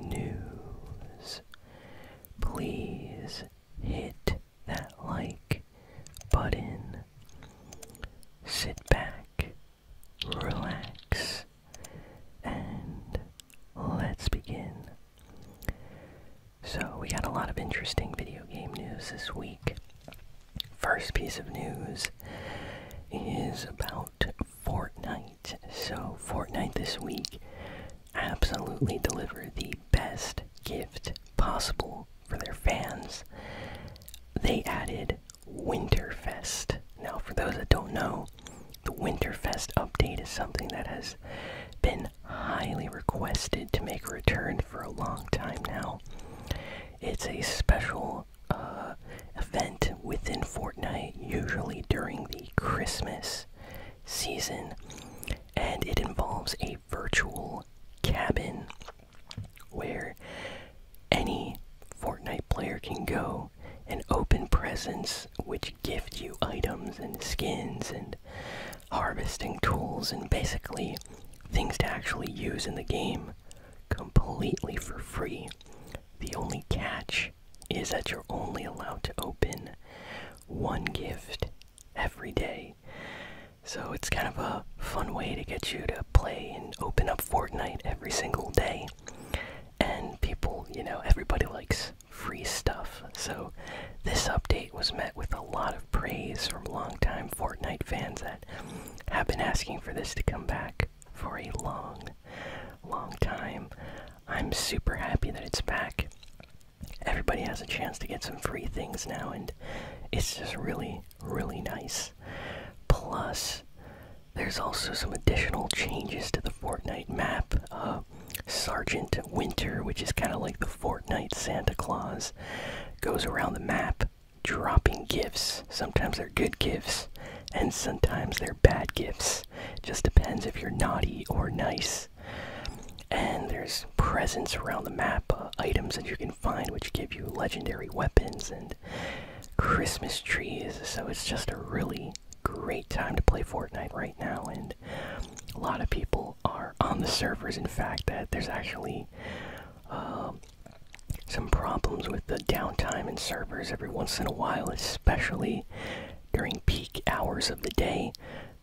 news. Please hit that like button. Sit back, relax, and let's begin. So, we got a lot of interesting video game news this week. First piece of news is about Fortnite. So, Fortnite this week absolutely delivered the best gift possible for their fans. They added Winterfest. Now, for those that don't know, the Winterfest update is something that has been highly requested to make a return for a long time now. It's a special annual uh, event within Fortnite, usually during the Christmas season, and it involves a virtual cabin where any Fortnite player can go and open presents which gift you items and skins and harvesting tools and basically things to actually use in the game completely for free the only catch is that you're only allowed to open one gift every day. So it's kind of a fun way to get you to play and open up Fortnite every single day. And people, you know, everybody likes free stuff. So this update was met with a lot of praise from longtime Fortnite fans that have been asking for this to come back for a long long time. I'm super happy that it's back. Everybody has a chance to get some free things now, and it's just really, really nice. Plus, there's also some additional changes to the Fortnite map. Uh, Sergeant Winter, which is kind of like the Fortnite Santa Claus, goes around the map dropping gifts. Sometimes they're good gifts, and sometimes they're bad gifts. Just depends if you're naughty or nice. And there's presents around the map, uh, items that you can find which give you legendary weapons and Christmas trees. So it's just a really great time to play Fortnite right now, and a lot of people are on the servers. In fact, that there's actually um, some problems with the downtime in servers every once in a while, especially during peak hours of the day.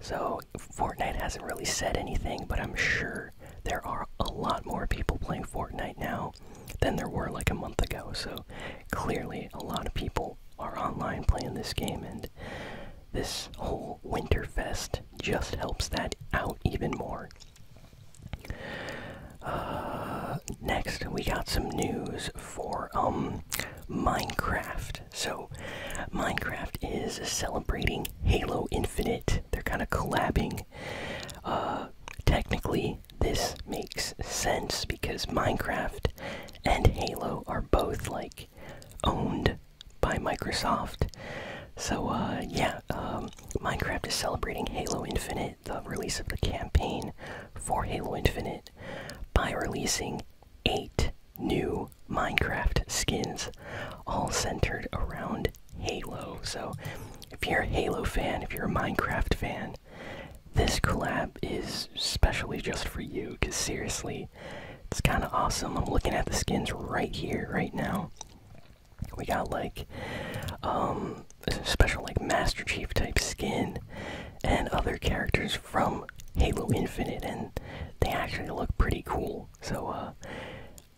So, Fortnite hasn't really said anything, but I'm sure there are a lot more people playing Fortnite now than there were like a month ago. So, clearly, a lot of people are online playing this game, and this whole Winterfest just helps that out even more. Uh, next, we got some news for um, Minecraft. So, Minecraft is celebrating Halo Infinite. They're kind of collabing. Uh, technically, this makes sense because Minecraft and Halo are both like owned by Microsoft. So, uh, yeah, um, Minecraft is celebrating Halo Infinite, the release of the campaign for Halo Infinite, by releasing eight new Minecraft skins, all centered around Halo. So, if you're a Halo fan, if you're a Minecraft fan, this collab is especially just for you, because seriously, it's kind of awesome. I'm looking at the skins right here, right now. We got like um special like Master Chief type skin and other characters from Halo Infinite and they actually look pretty cool. So uh,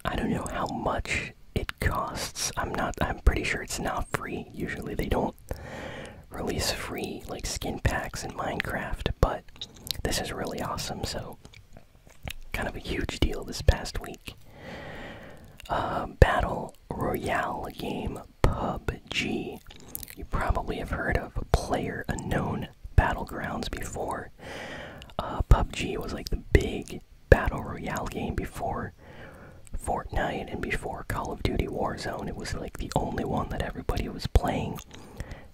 I don't know how much it costs. I'm not I'm pretty sure it's not free. Usually they don't release free like skin packs in Minecraft, but this is really awesome. So kind of a huge deal this past week week. Um, Battle Royale game PUBG. You probably have heard of Player Unknown Battlegrounds before. Uh, PUBG was like the big Battle Royale game before Fortnite and before Call of Duty Warzone. It was like the only one that everybody was playing.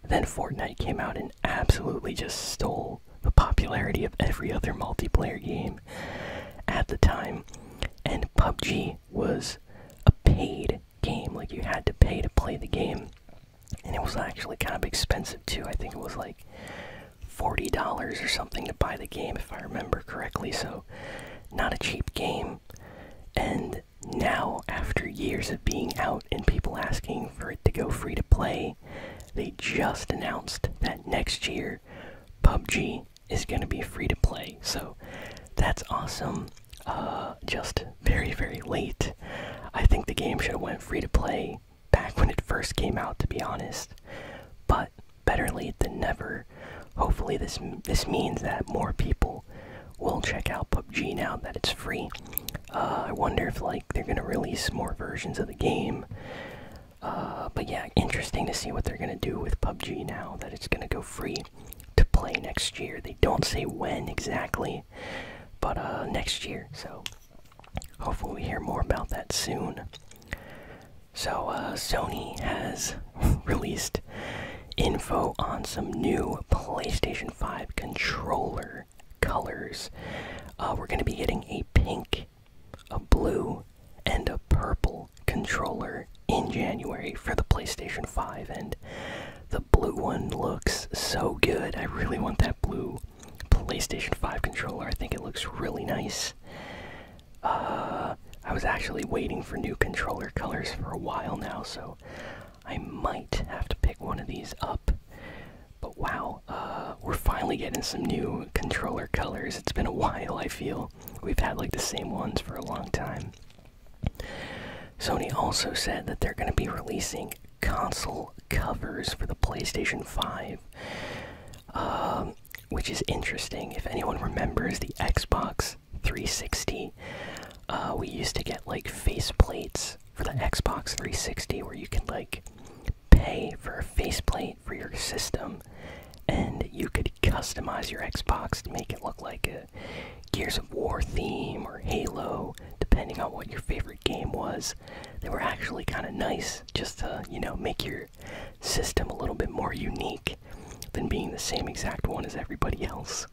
Then Fortnite came out and absolutely just stole the popularity of every other multiplayer game at the time. And PUBG was a paid game, like you had to pay to play the game. And it was actually kind of expensive too. I think it was like $40 or something to buy the game, if I remember correctly. So, not a cheap game. And now, after years of being out and people asking for it to go free to play, they just announced that next year PUBG is going to be free to play. So that's awesome. Uh, just very, very late. I think the game should have went free to play back when it first came out, to be honest. But better late than never. Hopefully, this this means that more people will check out PUBG now that it's free. Uh, I wonder if like they're gonna release more versions of the game. Uh, but yeah, interesting to see what they're gonna do with PUBG now that it's gonna go free to play next year. They don't say when exactly, but uh, next year. So hopefully we hear more about that soon. So uh, Sony has released info on some new PlayStation 5 controller colors. we're gonna be getting a pink a blue, and a purple controller in January for the PlayStation 5, and the blue one looks so good. I really want that blue PlayStation 5 controller. I think it looks really nice. Uh, I was actually waiting for new controller colors for a while now, so I might have to pick one of these up. But wow, uh, we're finally getting some new controller colors. It's been a while, I feel. We've had like the same ones for a long time. Sony also said that they're going to be releasing console covers for the PlayStation 5, um, which is interesting. If anyone remembers the Xbox 360, uh, we used to get like face plates for the Xbox 360 where you can like pay for a faceplate for your system, and you could customize your Xbox to make it look like a Gears of War theme or Halo, depending on what your favorite game was. They were actually kind of nice just to, you know, make your system a little bit more unique than being the same exact one as everybody else.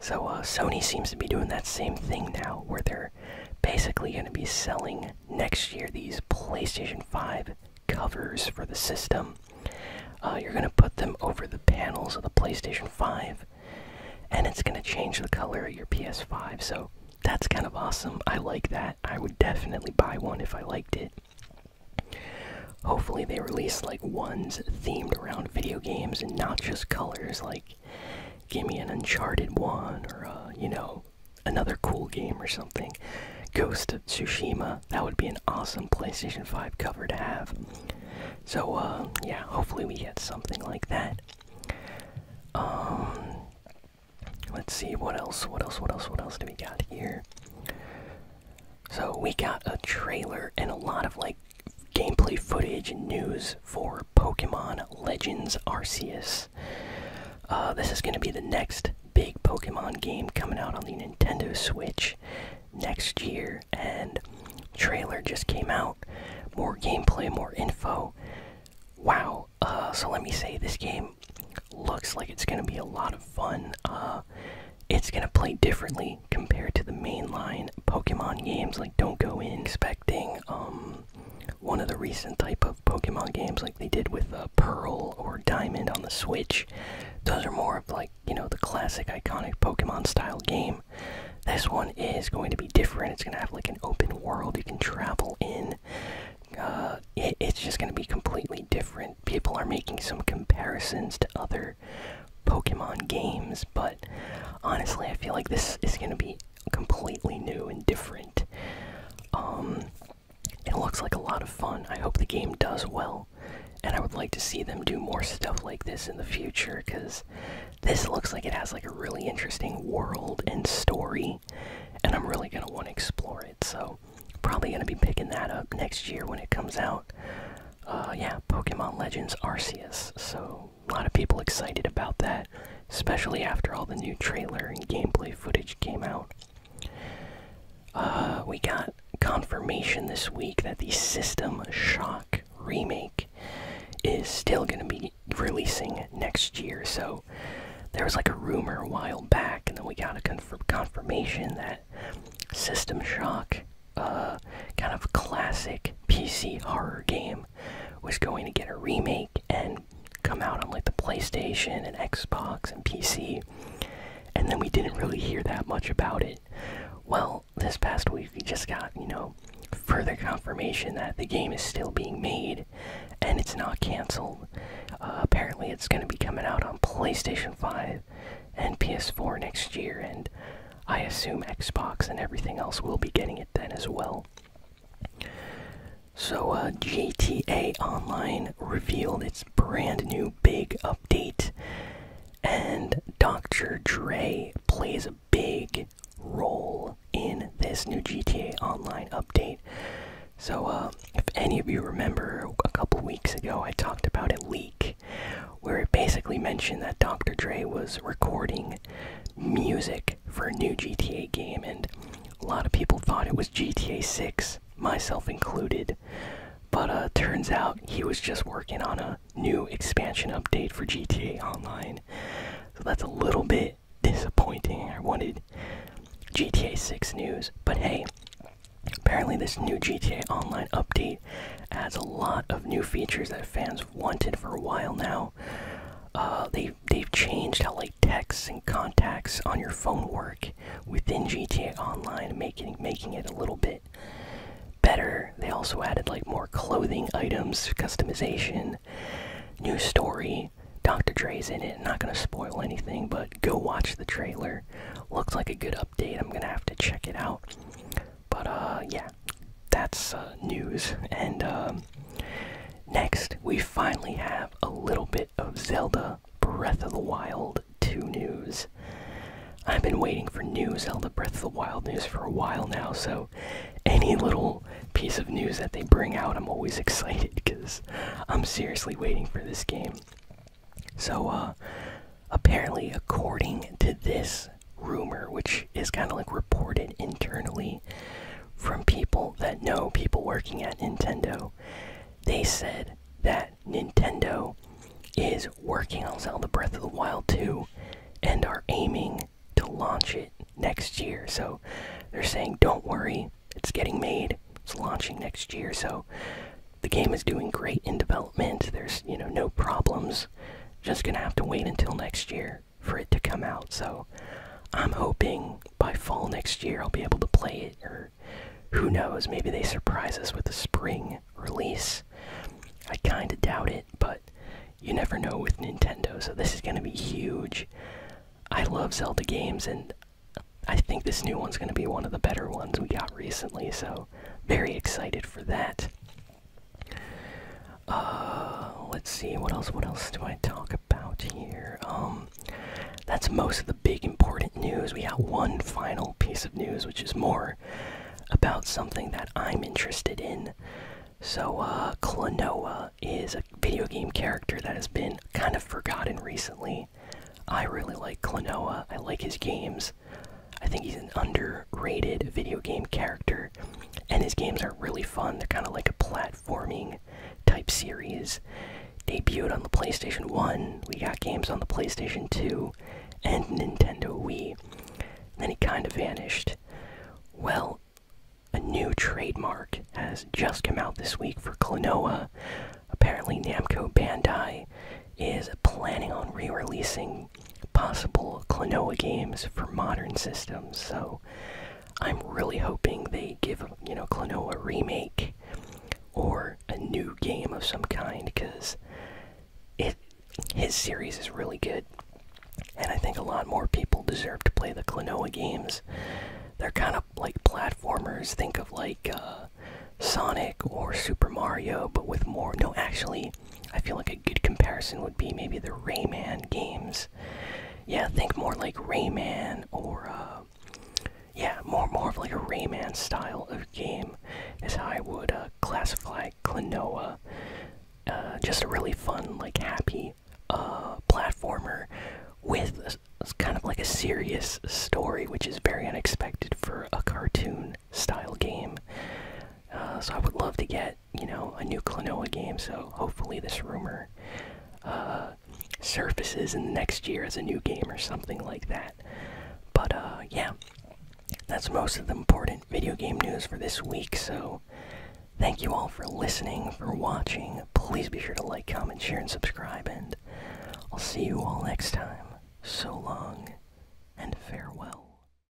So uh, Sony seems to be doing that same thing now, where they're basically going to be selling next year these PlayStation 5 covers for the system. Uh, you're going to put them over the panels of the PlayStation 5, and it's going to change the color of your PS5. So that's kind of awesome. I like that. I would definitely buy one if I liked it. Hopefully, they release like ones themed around video games and not just colors. Like, give me an Uncharted one, or, uh, you know, another cool game or something. Ghost of Tsushima, that would be an awesome PlayStation 5 cover to have. So, uh, yeah, hopefully we get something like that. Um, let's see, what else, what else, what else, what else do we got here? So, we got a trailer and a lot of, like, gameplay footage and news for Pokemon Legends Arceus. Uh, this is going to be the next big Pokemon game coming out on the Nintendo Switch next year, and trailer just came out. More gameplay, more info. Wow. Uh, so let me say, this game looks like it's going to be a lot of fun. Uh, it's going to play differently compared to the mainline Pokemon games. Like, don't go in expecting um, one of the recent type of. Pokemon games like they did with uh, Pearl or Diamond on the Switch. Those are more of like, you know, the classic iconic Pokemon style game. This one is going to be different. It's going to have like an open world you can travel in. Uh, it's just going to be completely different. People are making some comparisons to other Pokemon games, but honestly, I feel like this is going to be completely new and different. Um, it looks like a lot of fun. I hope the game does well, and I would like to see them do more stuff like this in the future because this looks like it has like a really interesting world and story, and I'm really gonna want to explore it. So probably gonna be picking that up next year when it comes out. Uh, yeah, Pokemon Legends Arceus. So a lot of people excited about that, especially after all the new trailer and gameplay footage came out. Uh, we got confirmation this week that the System Shock remake is still going to be releasing next year. So there was like a rumor a while back, and then we got a confirmation that System Shock, uh, kind of classic PC horror game, was going to get a remake. And come out on like the PlayStation and Xbox and PC, and then we didn't really hear that much about it. Well, this past week we just got, you know, further confirmation that the game is still being made and it's not canceled. Uh, apparently, it's going to be coming out on PlayStation 5 and PS4 next year, and I assume Xbox and everything else will be getting it then as well. So, uh, GTA Online revealed its brand new big update, and Dr. Dre plays a big role in this new GTA Online update. So, uh, if any of you remember, a couple weeks ago I talked about a leak where it basically mentioned that Dr. Dre was recording music for a new GTA game, and a lot of people thought it was GTA 6, myself included. But uh, turns out he was just working on a new expansion update for GTA Online. So that's a little bit disappointing. I wanted GTA 6 news, but hey, apparently this new GTA Online update adds a lot of new features that fans wanted for a while now. Uh, they they have changed how like texts and contacts on your phone work within GTA Online, making making it a little bit better. They also added like more clothing items, customization, new story. Dr. Dre's in it. Not gonna spoil anything, but go watch the trailer. Looks like a good update. I'm gonna have to check it out. But uh, yeah, that's uh, news. And um, next, we finally have a little bit of Zelda Breath of the Wild 2 news. I've been waiting for news, Zelda Breath of the Wild news for a while now, so any little piece of news that they bring out, I'm always excited because I'm seriously waiting for this game. So, uh, apparently, according to this rumor, which is kind of like reported internally from people that know people working at Nintendo. They said that Nintendo is working on Zelda Breath of the Wild 2 and are aiming to launch it next year. So they're saying, don't worry, it's getting made, it's launching next year. So the game is doing great in development. There's, you know, no problems. Just gonna have to wait until next year for it to come out. So I'm hoping by fall next year I'll be able to play it, or who knows, maybe they surprise us with a spring release. I kind of doubt it, but you never know with Nintendo, so this is going to be huge. I love Zelda games, and I think this new one's going to be one of the better ones we got recently, so very excited for that. Uh, let's see. What else? What else do I talk about here? Um, that's most of the big important news. We got one final piece of news, which is more about something that I'm interested in. So, uh, is a video game character that has been kind of forgotten recently. I really like Klonoa. I like his games. I think he's an underrated video game character and his games are really fun. They're kind of like a platforming type series. Debuted on the PlayStation 1, we got games on the PlayStation 2 and Nintendo Wii. And then he kind of vanished. Well, a new trademark has just come out this week for Klonoa. Apparently, Namco Bandai is planning on re releasing possible Klonoa games for modern systems. So I'm really hoping they give you know Klonoa a remake or a new game of some kind because it his series is really good, and I think a lot more people deserve to play the Klonoa games. They're kind of like platformers. Think of like uh, Sonic or Super Mario, but with more. No, actually, I feel like a good comparison would be maybe the Rayman games. Yeah, think more like Rayman or uh, yeah, more more of like a Rayman style of game is how I would uh, classify Klonoa. Uh, just a really fun, like happy platformer with a, kind of like a serious story, which is very unexpected for a cartoon style game. so I would love to get you know a new Klonoa game. So hopefully this rumor uh, surfaces in the next year as a new game or something like that. But uh, yeah, that's most of the important video game news for this week. So thank you all for listening, for watching. Please be sure to like, comment, share, and subscribe. And I'll see you all next time. So long and farewell.